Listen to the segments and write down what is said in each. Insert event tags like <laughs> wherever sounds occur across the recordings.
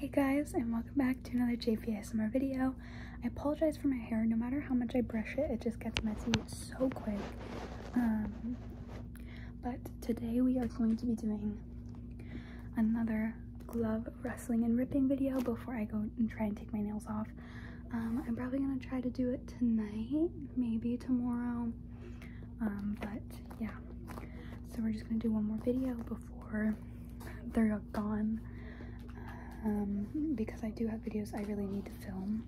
Hey guys and welcome back to another JPSMR video. I apologize for my hair. No matter how much I brush it, it just gets messy so quick. Um, but today we are going to be doing another glove wrestling and ripping video before I go and try and take my nails off. Um, I'm probably going to try to do it tonight, maybe tomorrow. Um, but yeah, so we're just gonna do one more video before they're gone um, because I do have videos I really need to film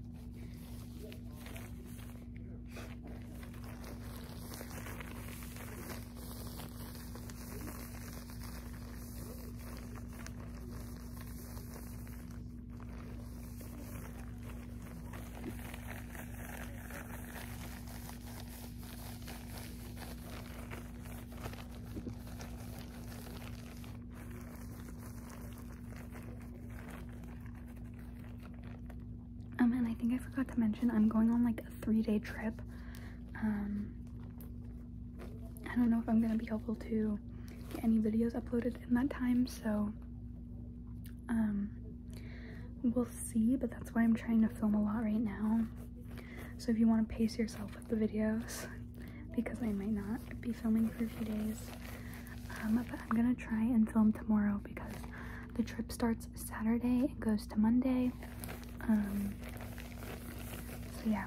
um, and I think I forgot to mention I'm going on like a three-day trip. Um, I don't know if I'm gonna be helpful to get any videos uploaded in that time, so um, we'll see. But that's why I'm trying to film a lot right now. So if you want to pace yourself with the videos, because I might not be filming for a few days, um, but I'm gonna try and film tomorrow because the trip starts Saturday, it goes to Monday. Um, so yeah.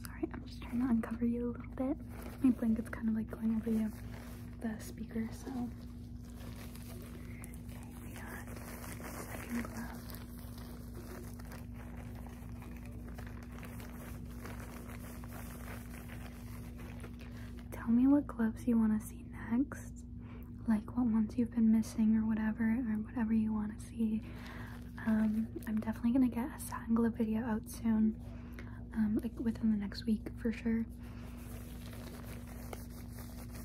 Sorry, I'm just trying to uncover you a little bit. My blanket's kind of like going over you, the speaker, so Tell me what gloves you want to see next, like what ones you've been missing or whatever, or whatever you want to see. Um, I'm definitely gonna get a satin glove video out soon, um, like within the next week for sure.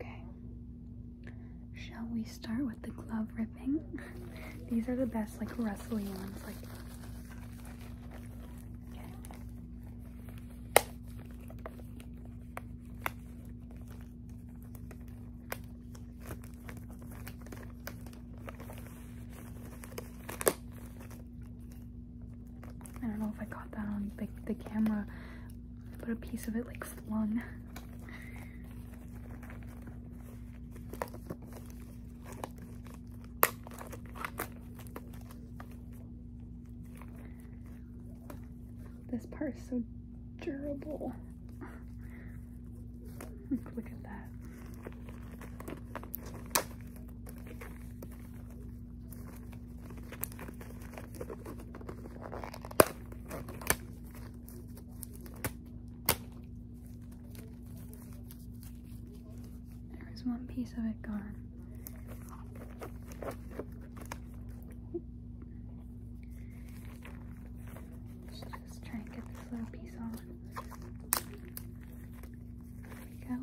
Okay. Shall we start with the glove ripping? <laughs> These are the best, like rustly ones. Like. I don't know if I caught that on the, camera, but a piece of it like flung. This part is so durable. <laughs> Look at that. There's one piece of it gone. Let's just try and get this little piece on. There we go.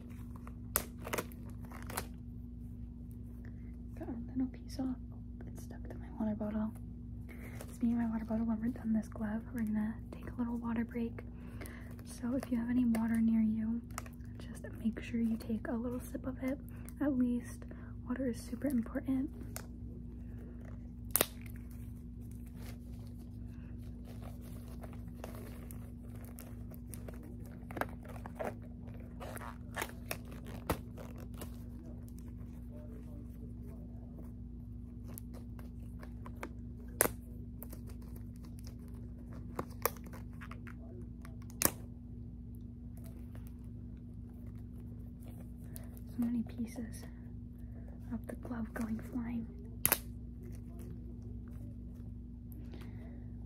Got a little piece off. it's stuck to my water bottle. Speaking of my water bottle, when we're done this glove, we're gonna take a little water break. So if you have any water near you, just make sure you take a little sip of it. At least water is super important. So many pieces of the glove going flying.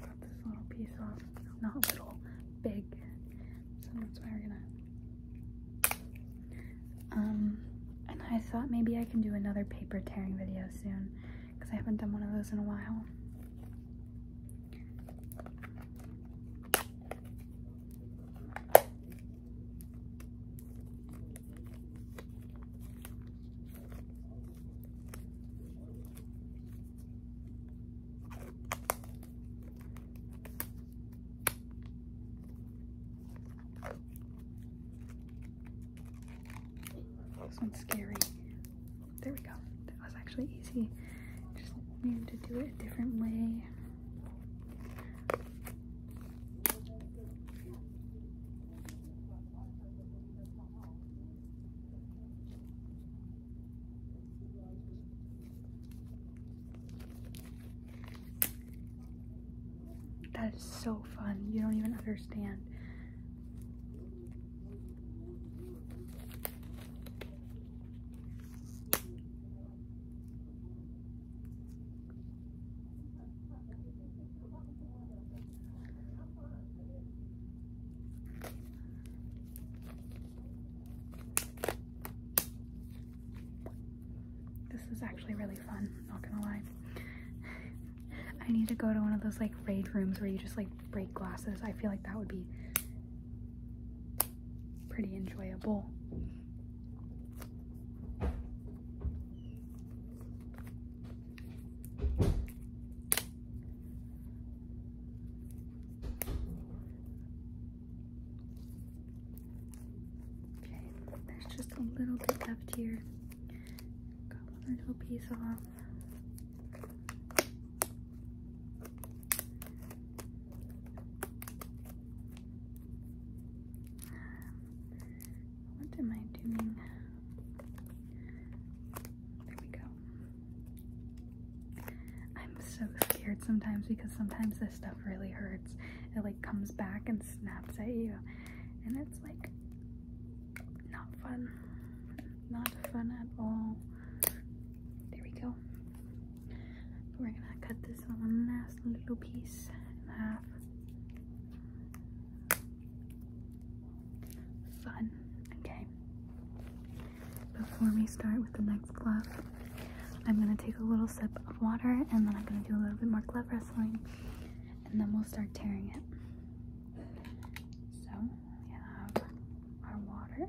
Cut this little piece off. not little, big. So that's why we're gonna. Um, and I thought maybe I can do another paper tearing video soon because I haven't done one of those in a while. This one's scary. There we go. That was actually easy. Just maybe to do it a different way. That is so fun. You don't even understand. This is actually really fun, not gonna lie. I need to go to one of those like raid rooms where you just like break glasses. I feel like that would be pretty enjoyable. Okay, there's just a little bit left here. Got one little piece off. What am I doing? There we go. I'm so scared sometimes because sometimes this stuff really hurts. It like comes back and snaps at you. And it's like not fun. Not fun at all. There we go. We're gonna cut this one last little piece in half. Fun. Okay. Before we start with the next glove, I'm gonna take a little sip of water and then I'm gonna do a little bit more glove wrestling and then we'll start tearing it. So we have our water.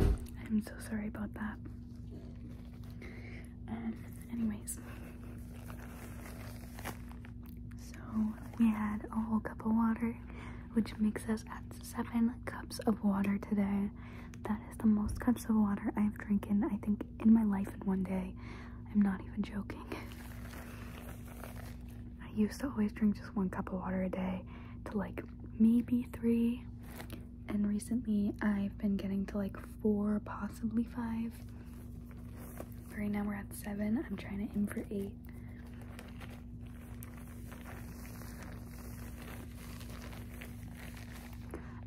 I'm so sorry about that. anyways, so we had a whole cup of water, which makes us at seven cups of water today. That is the most cups of water I've drinking, I think, in my life in one day. I'm not even joking. <laughs> I used to always drink just one cup of water a day to like maybe three, and recently I've been getting to like four, possibly five. Right now we're at seven. I'm trying to aim for eight.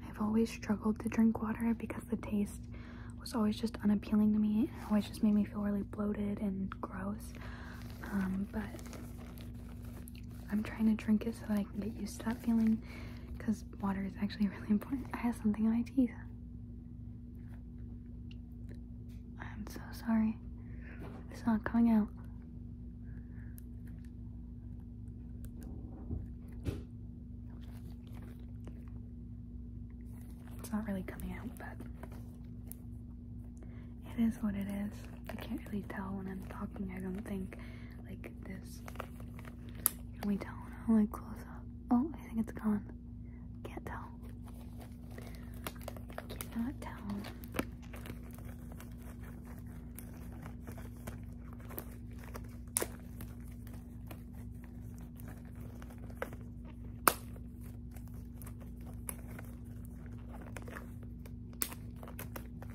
I've always struggled to drink water because the taste was always just unappealing to me. always just made me feel really bloated and gross. Um, but I'm trying to drink it so I can get used to that feeling because water is actually <laughs> really important. I have something on my teeth. I'm so sorry. It's not coming out. It's not really coming out, but it is what it is. I can't really tell when I'm talking, I don't think, like this. Can we tell when I'm like close up? Oh, I think it's gone. Can't tell. Cannot tell.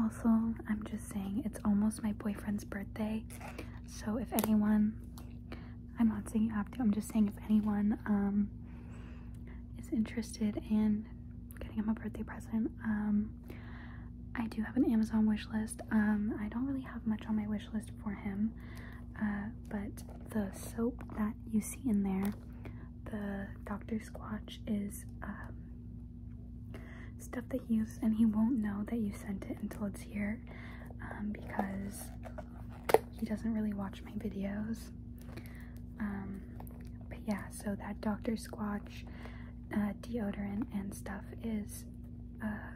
Also, I'm just saying, it's almost my boyfriend's birthday. So if anyone, I'm not saying you have to, I'm just saying if anyone um, is interested in getting him a birthday present, um, I do have an Amazon wish list. Um, I don't really have much on my wish list for him, uh, but the soap that you see in there the Dr. Squatch is um, stuff that he uses, and he won't know that you sent it until it's here um, because he doesn't really watch my videos. Um, but yeah, so that Dr. Squatch uh, deodorant and stuff is uh,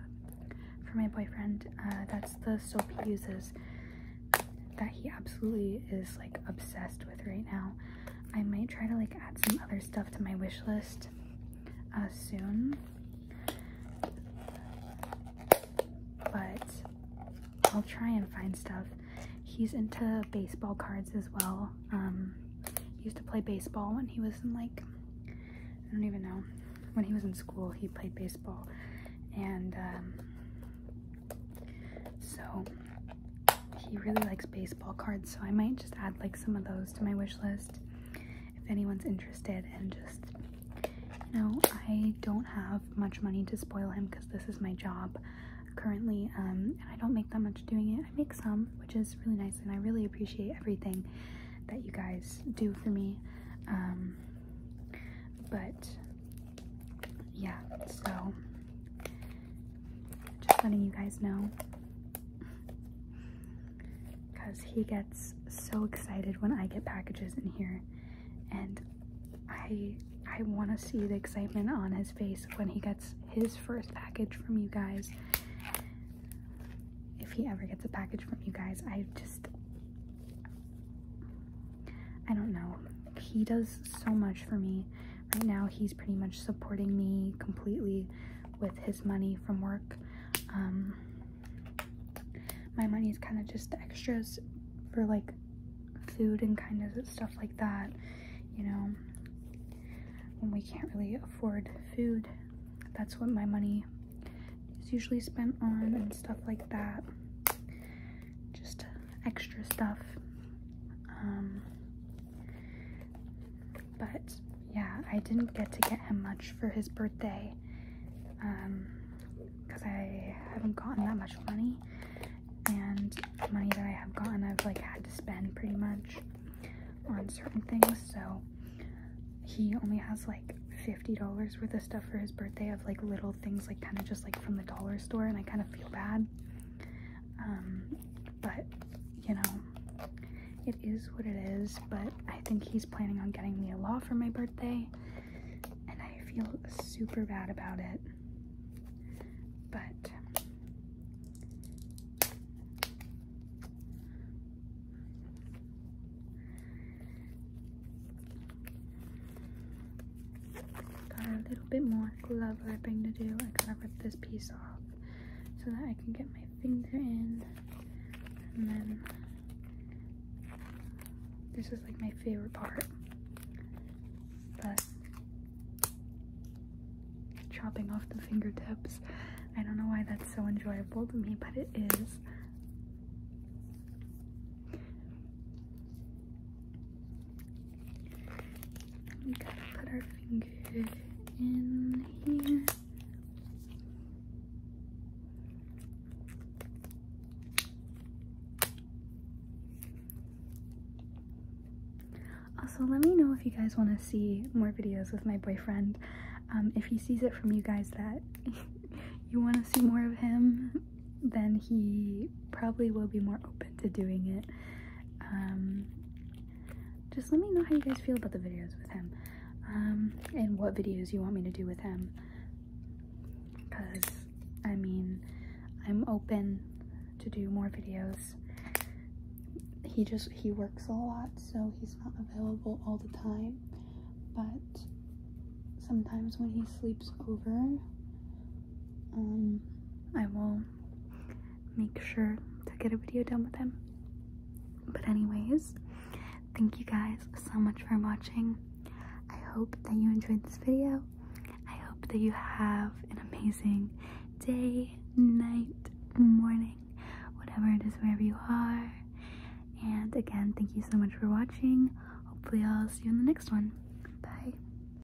for my boyfriend. Uh, that's the soap he uses that he absolutely is like obsessed with right now. I might try to like add some other stuff to my wish list uh, soon. But I'll try and find stuff. He's into baseball cards as well. Um, he used to play baseball when he was in like, I don't even know. When he was in school, he played baseball. And um, so he really likes baseball cards, so I might just add like some of those to my wish list if anyone's interested and just you know, I don't have much money to spoil him because this is my job currently um, and I don't make that much doing it. I make some, which is really nice and I really appreciate everything that you guys do for me. Um, but yeah, so just letting you guys know. Because he gets so excited when I get packages in here. And I, I want to see the excitement on his face when he gets his first package from you guys. If he ever gets a package from you guys, I just... I don't know he does so much for me. Right now, he's pretty much supporting me completely with his money from work. Um, my money is kind of just extras for like food and kind of stuff like that, you know. When we can't really afford food, that's what my money is usually spent on and stuff like that just uh, extra stuff. Um, but yeah, I didn't get to get him much for his birthday because um, I haven't gotten that much money and money that I have gotten I've like had to spend pretty much on certain things so he only has like $50 worth of stuff for his birthday of like little things like kind of just like from the dollar store and I kind of feel bad um, but you know, it is what it is. But I think he's planning on getting me a law for my birthday, and I feel super bad about it. But got a little bit more more glove ripping to do. I gotta rip this piece off so that I can get my finger in. And then this is like my favorite part. But chopping off the fingertips. I don't know why that's so enjoyable to me, but it is. Also, let me know if you guys want to see more videos with my boyfriend. Um, if he sees it from you guys that <laughs> you want to see more of him, then he probably will be more open to doing it. Um, just let me know how you guys feel about the videos with him um, and what videos you want me to do with him. Because, I mean, I'm open to do more videos. He just, he works a lot, so he's not available all the time. But sometimes when he sleeps over, um, I will make sure to get a video done with him. But anyways, thank you guys so much for watching. I hope that you enjoyed this video. I hope that you have an amazing day, night, morning, whatever it is wherever you are. And again, thank you so much for watching. Hopefully I'll see you in the next one. Bye.